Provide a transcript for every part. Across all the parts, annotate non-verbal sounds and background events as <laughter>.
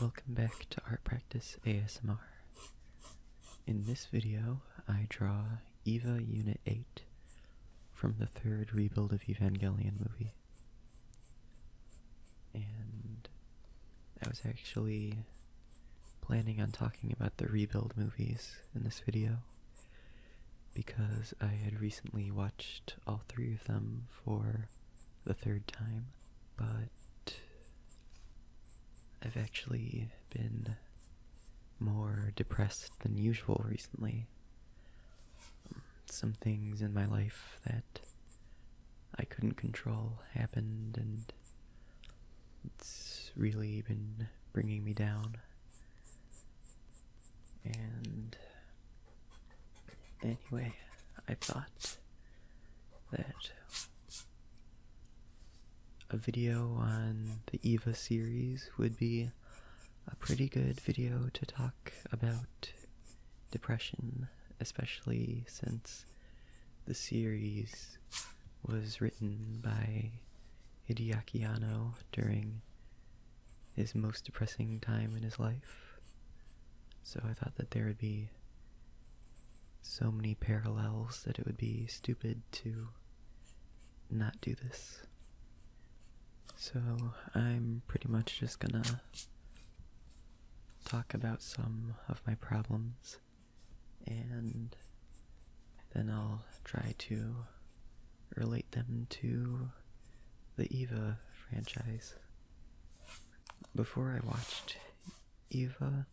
Welcome back to Art Practice ASMR. In this video, I draw Eva Unit 8 from the third rebuild of Evangelion movie. And I was actually planning on talking about the rebuild movies in this video, because I had recently watched all three of them for the third time, but I've actually been more depressed than usual recently. Some things in my life that I couldn't control happened, and it's really been bringing me down. And anyway, I thought that a video on the Eva series would be a pretty good video to talk about depression, especially since the series was written by Hideaki Anno during his most depressing time in his life. So I thought that there would be so many parallels that it would be stupid to not do this. So I'm pretty much just gonna talk about some of my problems and then I'll try to relate them to the Eva franchise. Before I watched Eva,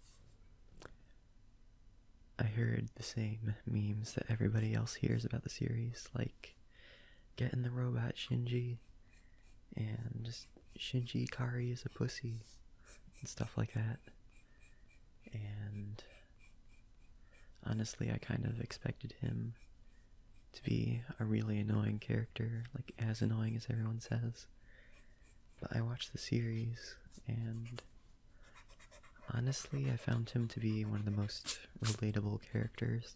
I heard the same memes that everybody else hears about the series, like getting the robot Shinji and Shinji Kari is a pussy and stuff like that. And Honestly, I kind of expected him to be a really annoying character, like as annoying as everyone says. But I watched the series, and honestly, I found him to be one of the most relatable characters.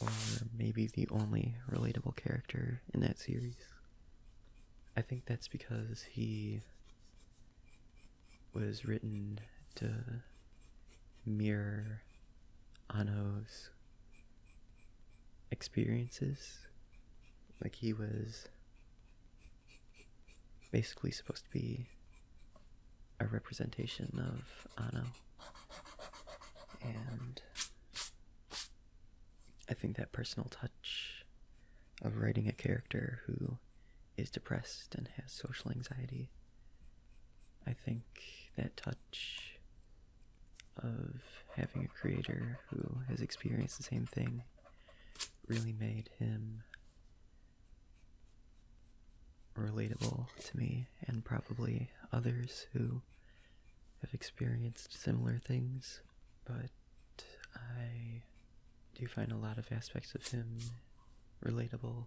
Or maybe the only relatable character in that series. I think that's because he was written to mirror Ano's experiences. Like he was basically supposed to be a representation of Ano. And I think that personal touch of writing a character who is depressed and has social anxiety. I think that touch of having a creator who has experienced the same thing really made him relatable to me and probably others who have experienced similar things but I do find a lot of aspects of him relatable.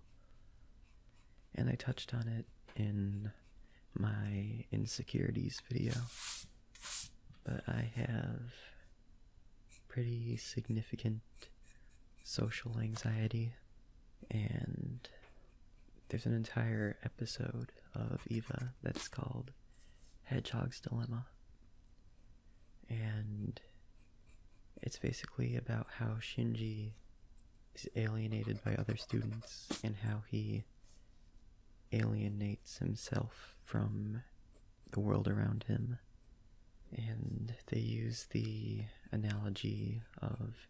And I touched on it in my insecurities video. But I have pretty significant social anxiety, and there's an entire episode of Eva that's called Hedgehog's Dilemma and it's basically about how Shinji is alienated by other students and how he alienates himself from the world around him. And they use the analogy of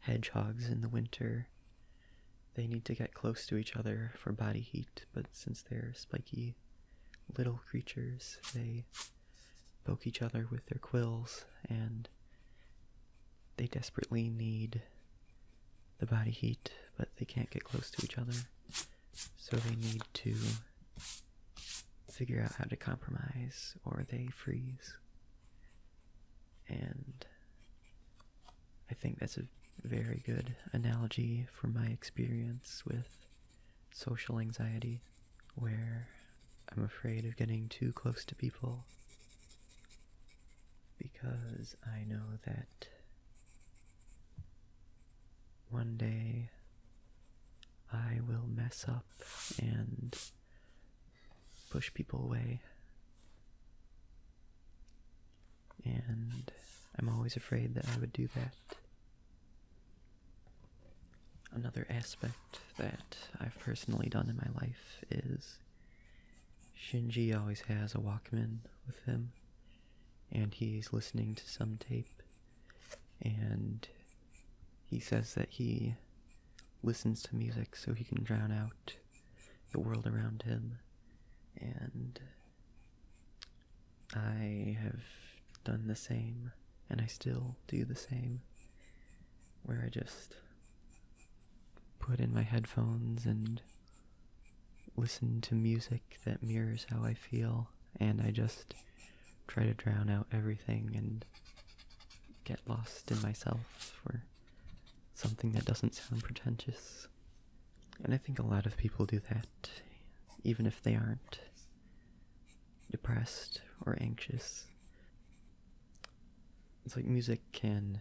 hedgehogs in the winter. They need to get close to each other for body heat, but since they're spiky, little creatures. They poke each other with their quills, and they desperately need the body heat, but they can't get close to each other. So they need to figure out how to compromise, or they freeze. And I think that's a very good analogy for my experience with social anxiety, where I'm afraid of getting too close to people because I know that one day I will mess up and push people away and I'm always afraid that I would do that. Another aspect that I've personally done in my life is Shinji always has a Walkman with him, and he's listening to some tape, and he says that he listens to music so he can drown out the world around him, and I have done the same, and I still do the same, where I just put in my headphones and listen to music that mirrors how I feel, and I just try to drown out everything and get lost in myself for something that doesn't sound pretentious. And I think a lot of people do that, even if they aren't depressed or anxious. It's like music can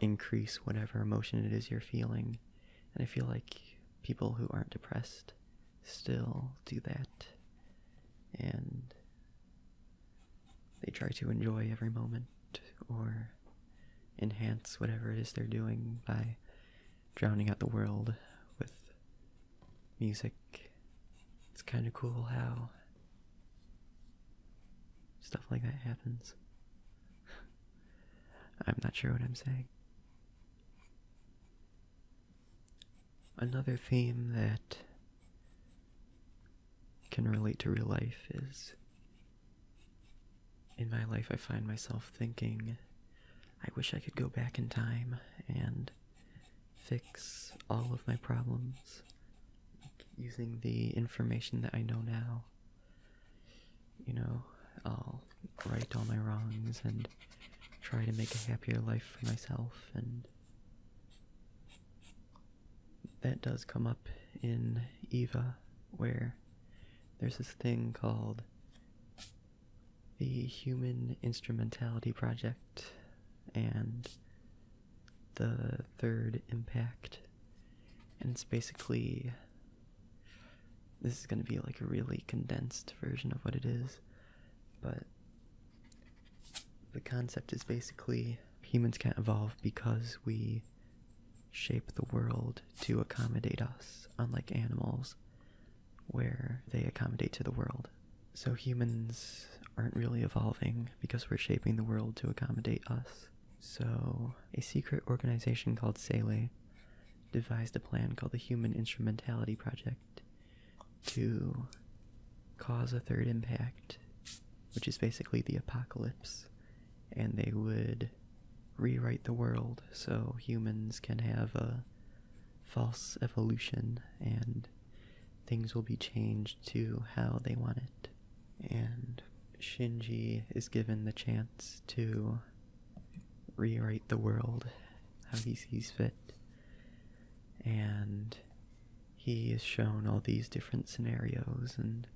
increase whatever emotion it is you're feeling, and I feel like people who aren't depressed still do that. And they try to enjoy every moment or enhance whatever it is they're doing by drowning out the world with music. It's kind of cool how stuff like that happens. <laughs> I'm not sure what I'm saying. Another theme that can relate to real life is in my life I find myself thinking I wish I could go back in time and fix all of my problems using the information that I know now. You know, I'll right all my wrongs and try to make a happier life for myself and that does come up in Eva, where there's this thing called the Human Instrumentality Project and the Third Impact. And it's basically. This is going to be like a really condensed version of what it is, but the concept is basically humans can't evolve because we shape the world to accommodate us, unlike animals, where they accommodate to the world. So humans aren't really evolving because we're shaping the world to accommodate us. So, a secret organization called Sele devised a plan called the Human Instrumentality Project to cause a third impact, which is basically the apocalypse, and they would rewrite the world so humans can have a false evolution and things will be changed to how they want it. And Shinji is given the chance to rewrite the world how he sees fit. And he is shown all these different scenarios, and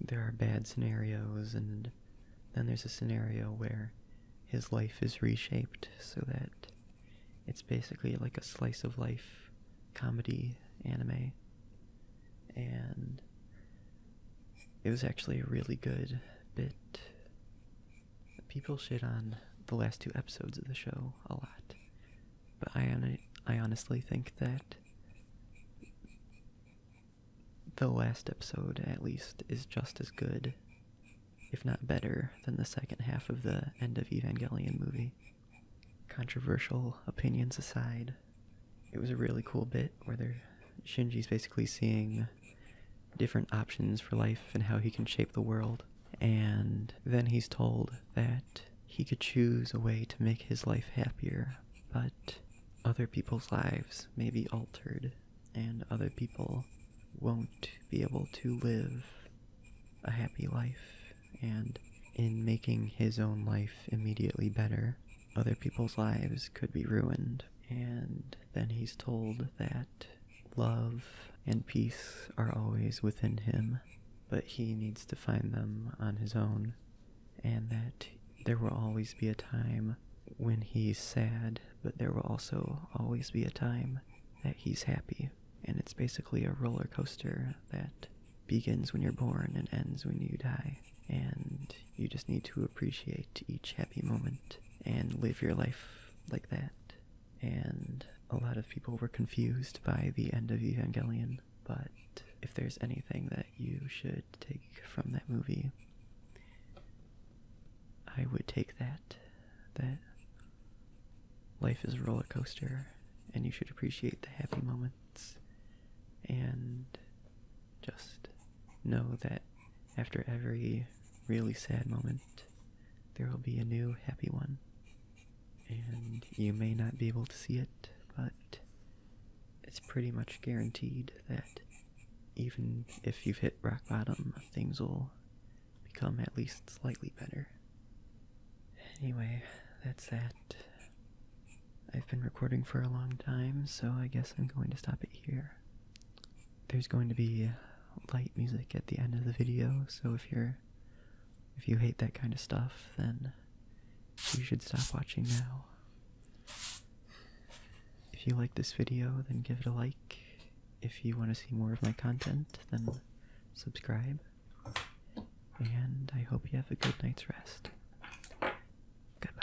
there are bad scenarios, and then there's a scenario where his life is reshaped so that it's basically like a slice of life comedy anime. And it was actually a really good bit people shit on the last two episodes of the show a lot, but I I honestly think that the last episode at least is just as good, if not better, than the second half of the end of Evangelion movie. Controversial opinions aside, it was a really cool bit where they're, Shinji's basically seeing different options for life and how he can shape the world. And then he's told that he could choose a way to make his life happier, but other people's lives may be altered, and other people won't be able to live a happy life. And in making his own life immediately better, other people's lives could be ruined. And then he's told that love, and peace are always within him, but he needs to find them on his own, and that there will always be a time when he's sad, but there will also always be a time that he's happy. And it's basically a roller coaster that begins when you're born and ends when you die. And you just need to appreciate each happy moment and live your life like that and a lot of people were confused by the end of Evangelion. But if there's anything that you should take from that movie, I would take that. That life is a roller coaster, and you should appreciate the happy moments, and just know that after every really sad moment, there will be a new happy one. And you may not be able to see it, but it's pretty much guaranteed that even if you've hit rock bottom, things will become at least slightly better. Anyway, that's that. I've been recording for a long time, so I guess I'm going to stop it here there's going to be light music at the end of the video, so if you're if you hate that kind of stuff, then you should stop watching now. If you like this video, then give it a like. If you want to see more of my content, then subscribe. And I hope you have a good night's rest. Goodbye.